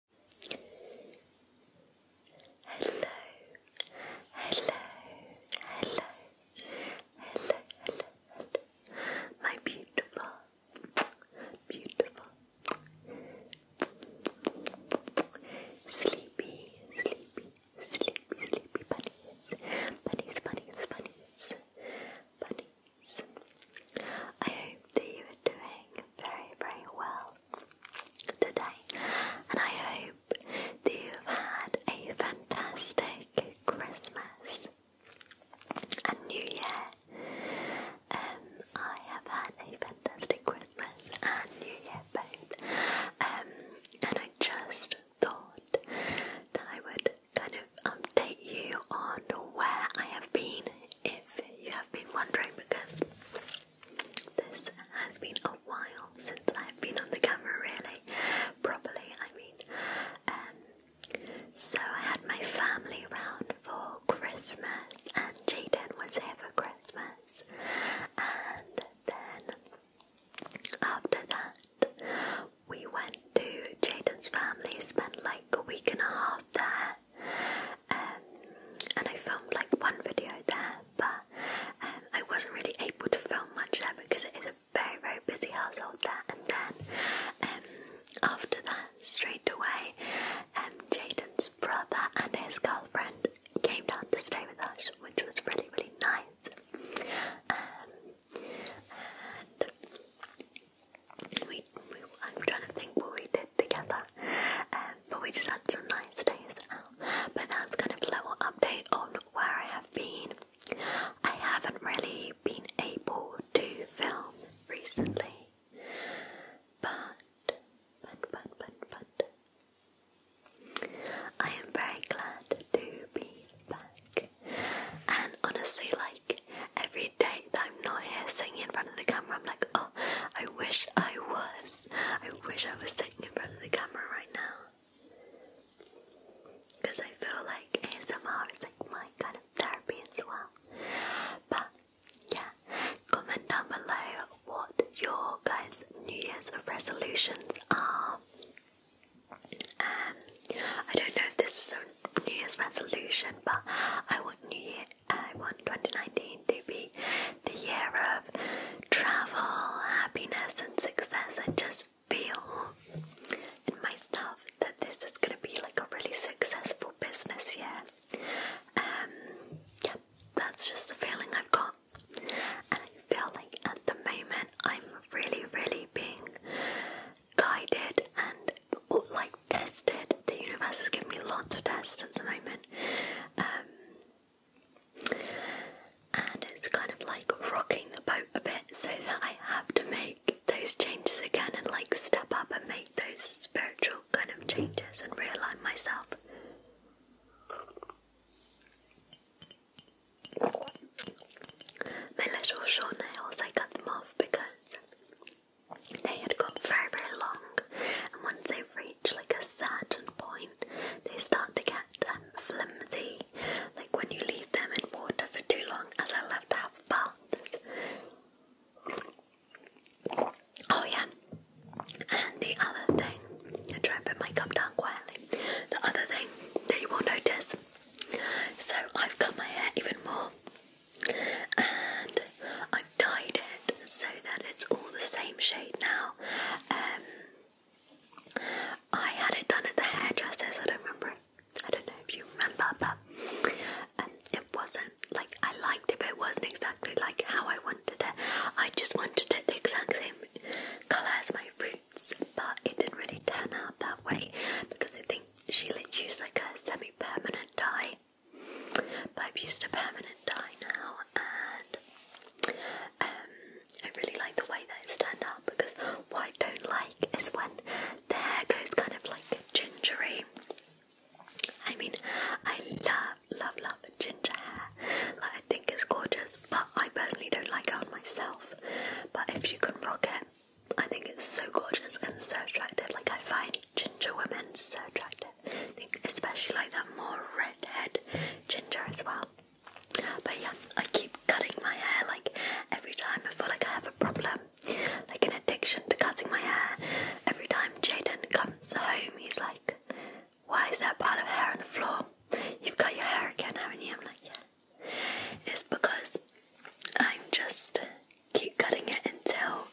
Hello, hello, hello, hello, hello, hello, my beautiful, beautiful, sleepy, sleepy, sleepy, sleepy bunnies, bunnies, bunnies, bunnies, I love you doing very, very well today, and I hope that you've had a fantastic Christmas and New Year. Um, I have had a fantastic Christmas and New Year both, um, and I just thought that I would kind of update you on where I have been you have been wondering because this has been a while since I've been on the camera really properly I mean um, so I had my family round for Christmas and Jaden was there for Christmas and then after that we went to Jaden's family spent like a week and a half there um, and I filmed like one video there, but um, I wasn't really able to film much there because it is a very very busy household there. And then um, after that, straight away, Jaden's brother and his girlfriend came down to stay with us, which was really really nice. I'm trying to think what we did together, um, but we just had some nice days out. But that's kind of a little update on where I have been. I haven't really been able to film recently, but but but but but I am very glad to be back. And honestly, like every day that I'm not here singing in front of the camera, I'm like, oh, I wish I was. I wish I was sitting in front of the camera right now. Because I feel like ASMR is like my kind of therapy as well. But yeah, comment down below what your guys' New Year's resolutions are. Um, I don't know if this is New Year's resolution, but I want New Year. I want 2019 to be the year of travel, happiness, and success. I just feel in my stuff that this is going to be like a really successful business year. Um, yeah, that's just the feeling I've got, and I feel like at the moment I'm really, really being guided and like tested. The universe has given me lots of tests at the moment. Um, and it's kind of like rocking the boat a bit so that I have to make those changes again and like step up and make those spiritual kind of changes and realign myself. My little short nails, I cut them off because they had very, very long, and once they reach like a certain point, they start to get um, flimsy. Like when you leave them in water for too long, as I love to have baths. Oh, yeah. And the other thing, I try and put my cup down quietly. The other thing that you will notice, so I've cut my hair even more and I've dyed it so that it's all the same shade now. Um, I had it done at the hairdresser's. I don't remember. I don't know if you remember, but um, it wasn't like I liked it, it wasn't exactly like how I wanted it. I just wanted it the exact same color as my roots, but it didn't really turn out that way because I think dye. She let use like a semi-permanent dye, but I've used a permanent dye now, and um, I really like the way that it's turned out because what I don't like is when the hair goes kind of like gingery. I mean, I love, love, love ginger hair. Like I think it's gorgeous, but I personally don't like it on myself. But if you can rock it. I think it's so gorgeous and so attractive. Like I find ginger women so attractive. especially like that more redhead ginger as well. But yeah, I keep cutting my hair like every time I feel like I have a problem, like an addiction to cutting my hair. Every time Jaden comes home, he's like, Why is that pile of hair on the floor? You've cut your hair again, haven't you? I'm like, Yeah is because I'm just keep cutting it until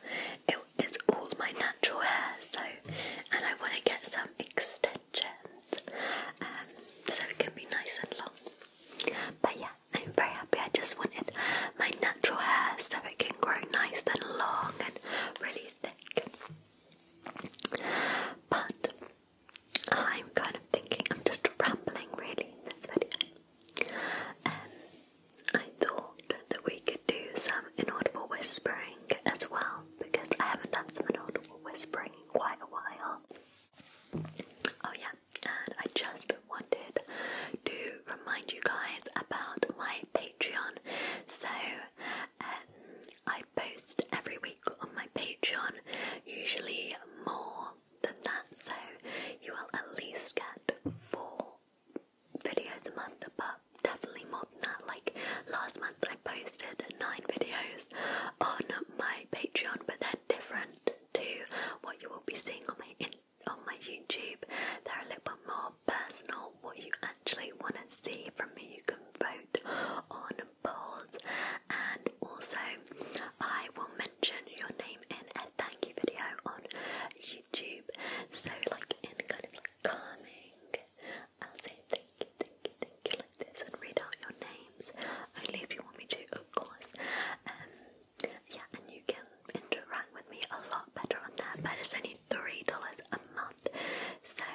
it is all my natural hair. So, and I want to get some extensions, um, so it can be nice and long. But yeah, I'm very happy. I just wanted my natural hair so it can grow nice and long and really thick. But I'm kind of thinking, I'm just rambling really in this video. Um, I thought that we could do some inaudible whispering as well because I haven't done some inaudible whispering in quite a while. Oh, yeah, and I just wanted to remind you guys about my Patreon. So, um, I post every week on my Patreon, usually more than that, so you will at least get four videos a month, but definitely more than that. Like last month, I posted nine videos on my Patreon, but they're different to what you will be seeing on my in on my YouTube. They're a little bit more personal. What you actually want to see from me, you can vote on polls, and also I will mention your name in a thank you video on YouTube. So like in kind of like I'll say thank you, thank you, thank you like this and read out your names. Only if you want me to, of course. Um, yeah, and you can interact with me a lot better on there, but it's only three dollars a month. So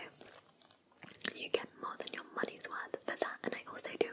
you get more than your money's worth for that, and I also do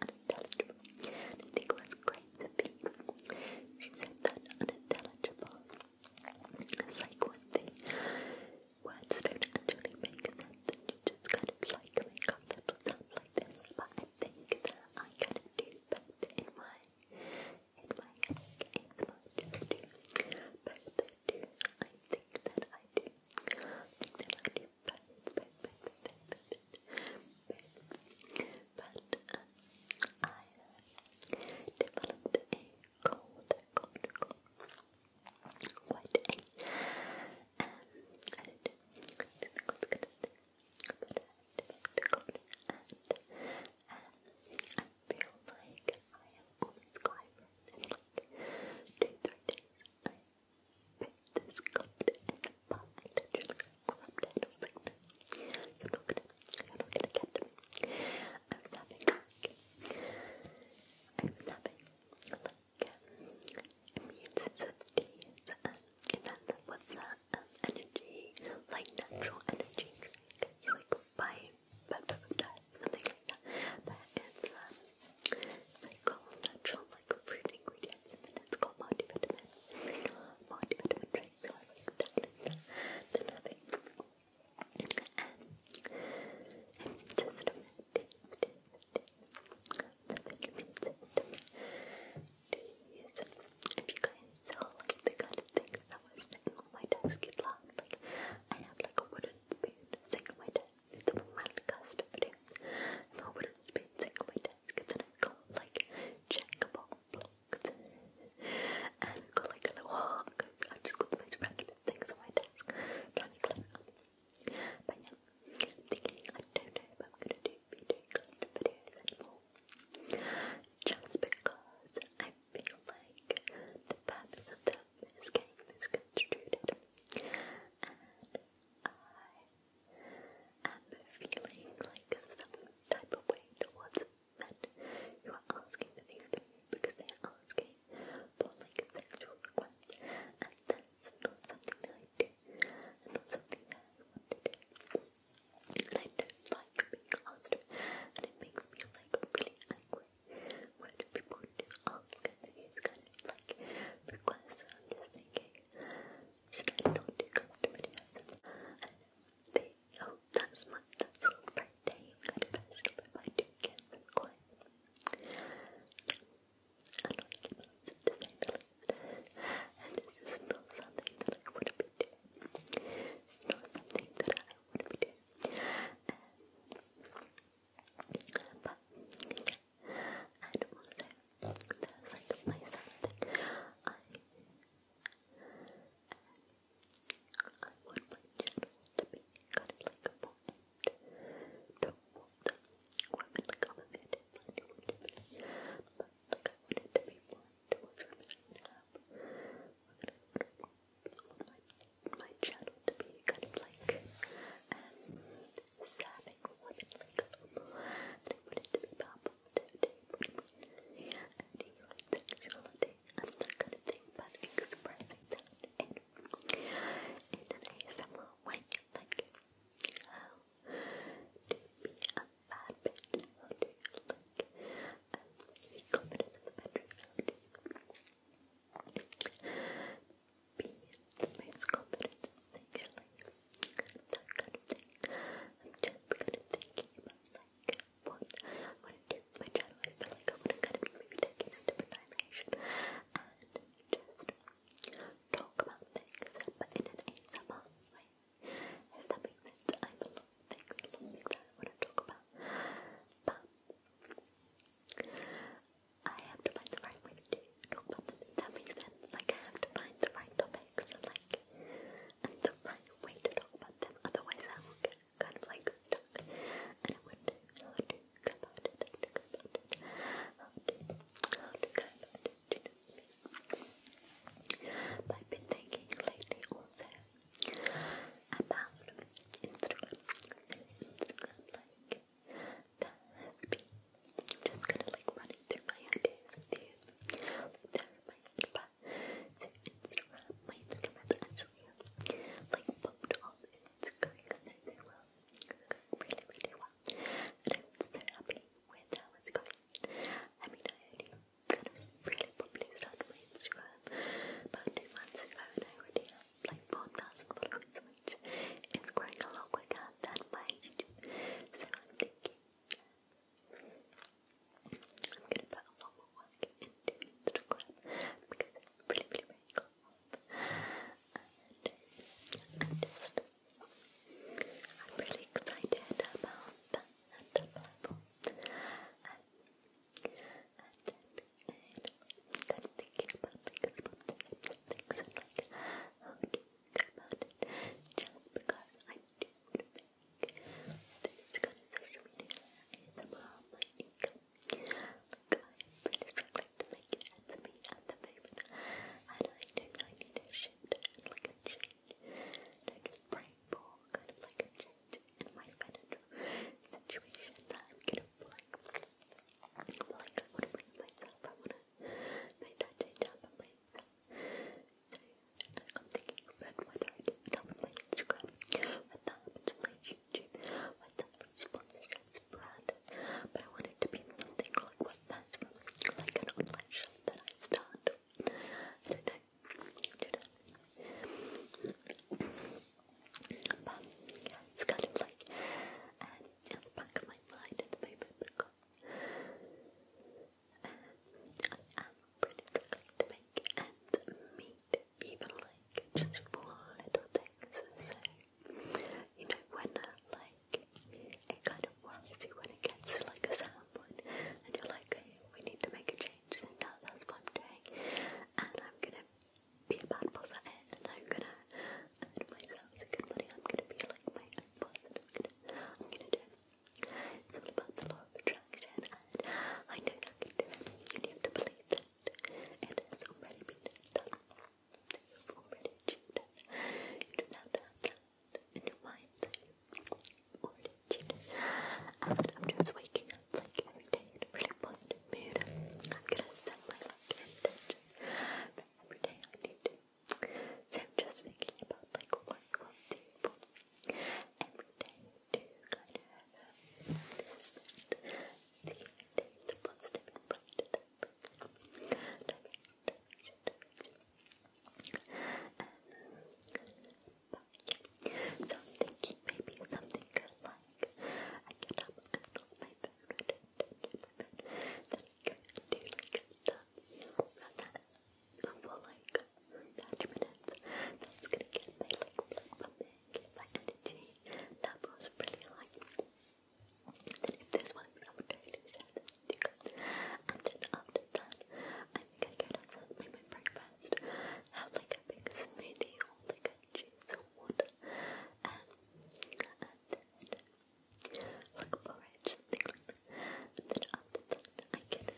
unintelligible and Nicholas Crane's opinion. She said that unintelligible is like when the words don't actually make sense and you just kind of like make up little sounds like this, but I think that I kind of do that in my in my like, in my just do both do I think that I do I think that I do but, but, but, developed a cold, cold, a cold and um, I like I am always crying this you I was having like, I was having like, um, immune that energy, like natural energy drink. It's like by, by, by, something like that. But it's, um, they call natural like fruit ingredients and then it's called multivitamin. multivitamin drink, so I like tablets than having an immune system D, D, D. The vitamin system D if you guys saw like the kind of things that was sitting on my desk, you'd Like I have like a wooden speed, single my desk. It's a podcast video. I'm over at speed, single my desk. And then I go like checkable blocks. And go like a walk. I just go to my random things on my desk. Trying to clear up. But yeah, thinking I don't know if I'm gonna do video collector videos anymore. Just because I feel like the purpose miscame, misconstrued it. And I am feeling like some type of way towards men who are asking for these things because they are asking for like sexual requests and that's not something I do not something I want to do. And I don't like being and it makes me like really angry what people do ask and it's kind of like requests. I'm just thinking, should I not do custom videos? oh, that's my, that's all birthday kind of version, but I do get some coins. Yeah, I'm not keeping it to disabled, and it's just not something that I would be doing. It's not something that I would be doing. But yeah, and also there's like my something I I want my channel to be kind of like more aimed towards I'm a bit but I want it to be more to be want my, my channel to be kind of like um, serving one like and I want to be about positivity and your sexuality and that kind of thing, but expressing that in, in an ASMR way, like um, to be a bad bitch, to like um, be confident in the bedroom, Beans, confidence, anxiety, that kind of thing. I'm just kind of thinking about like what I want to do with my channel. I feel like I want to kind of maybe take it a different dimension and just talk about things, but in an ASMR way. If that makes sense, I have a lot things, a lot of things I want to talk about, but I have to find the right way to talk about them. that makes sense. Like I have to find the right topics like and the right way to talk about them. Otherwise I will get kind of like stuck. And I wouldn't know how to go about it, how to go about it, how to how to go about it. You know what I mean? But I've been thinking lately also about Instagram, Instagram like that has been. just gonna like run through my ideas with you. Like there my advice to Instagram. My Instagram actually like popped off it's going really It's going really, really well. And I'm so happy with how it's going. I mean I already kind of really probably started my Instagram about two months ago and I already like 4,000 followers, which is growing a lot quicker than my YouTube. So I'm thinking I'm gonna put a lot more work into Instagram because it's really, really, cool. And uh, I'm just, I'm really excited about that platform. Um, and kind thinking about like a spontaneous things and like how to think about it because I do want to make this kind of social media ASMR my income like I'm really to make it ends meet the moment and I know I to shift and like a change and I just painful, kind of like a change in my financial situation that I'm kind of like, like I want to bring myself, I want to make that change up for myself. So I'm thinking about whether I do that with my Instagram, with that with my YouTube, with that with sponsorships, brand, but I want it to be something like what that's from, like an online shop that I start. I don't know but it's kind of like um, the back of my mind at the moment because um, I am really struggling to make ends meet, even like just for little things. So you know when like it kind of worries you when it gets to like a sound and you're like, we need to make a change change, so that's what I'm doing. And I'm gonna be a bad boss at it, and I'm gonna earn myself good money. I'm gonna be like my boss, I'm gonna, do It's all about the law of attraction, and I know I can do it. You need to believe that it has already been done. You've already achieved it. You just have to have that in your mind more legit. and I'm just waking up like every day in a really positive mood. I'm gonna set my like intentions every day I need So I'm just thinking about like what every day to kind of um, this and see my days yeah. So I'm thinking maybe something good like I get up and hold my phone Then I can do like dance around that for like 30 minutes. That's gonna get my like pumping, get my energy pretty high. Then if this works, I would totally you that, I think I go downstairs, make my breakfast best. Have like a big smoothie or like a juice or water. Um, and then like porridge, something like And then after that, I can sit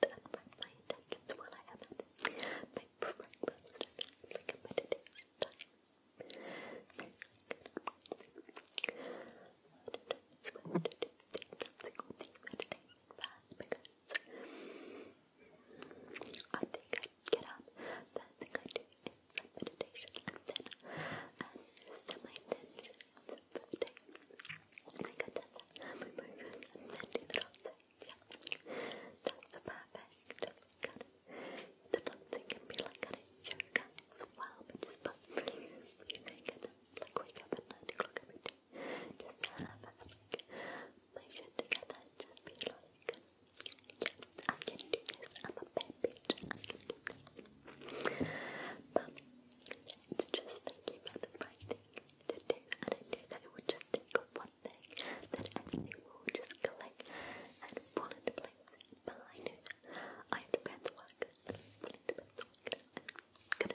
write my intentions while I have my breakfast like I can, I do what to do. Nothing on the meditation pad because I think i get up, the first thing I'd do some meditation and then um, set my intentions for the day. Like I said, my emotions and then do the dancing. Yeah, that's the perfect. kind of, the dancing can be like kind of yoga as well, but just fun. You think like wake up at 9 o'clock every day. Just have my shit together. Just be like, yes, I can do this. I'm a bad bitch. But it's just thinking about the thing to do, and I knew that it would just think one thing that everything will just click and fall place. But I knew I had to pay the work. Good.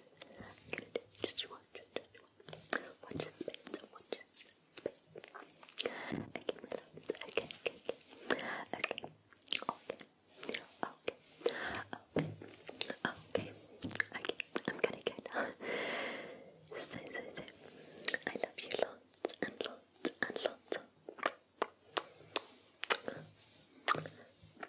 Good. Just watch, just watch. Watch the space, watch the space. Okay, Okay, okay, okay. Okay. Okay. Okay. Okay. I'm gonna go now. So, so, so. I love you lots and lots and lots.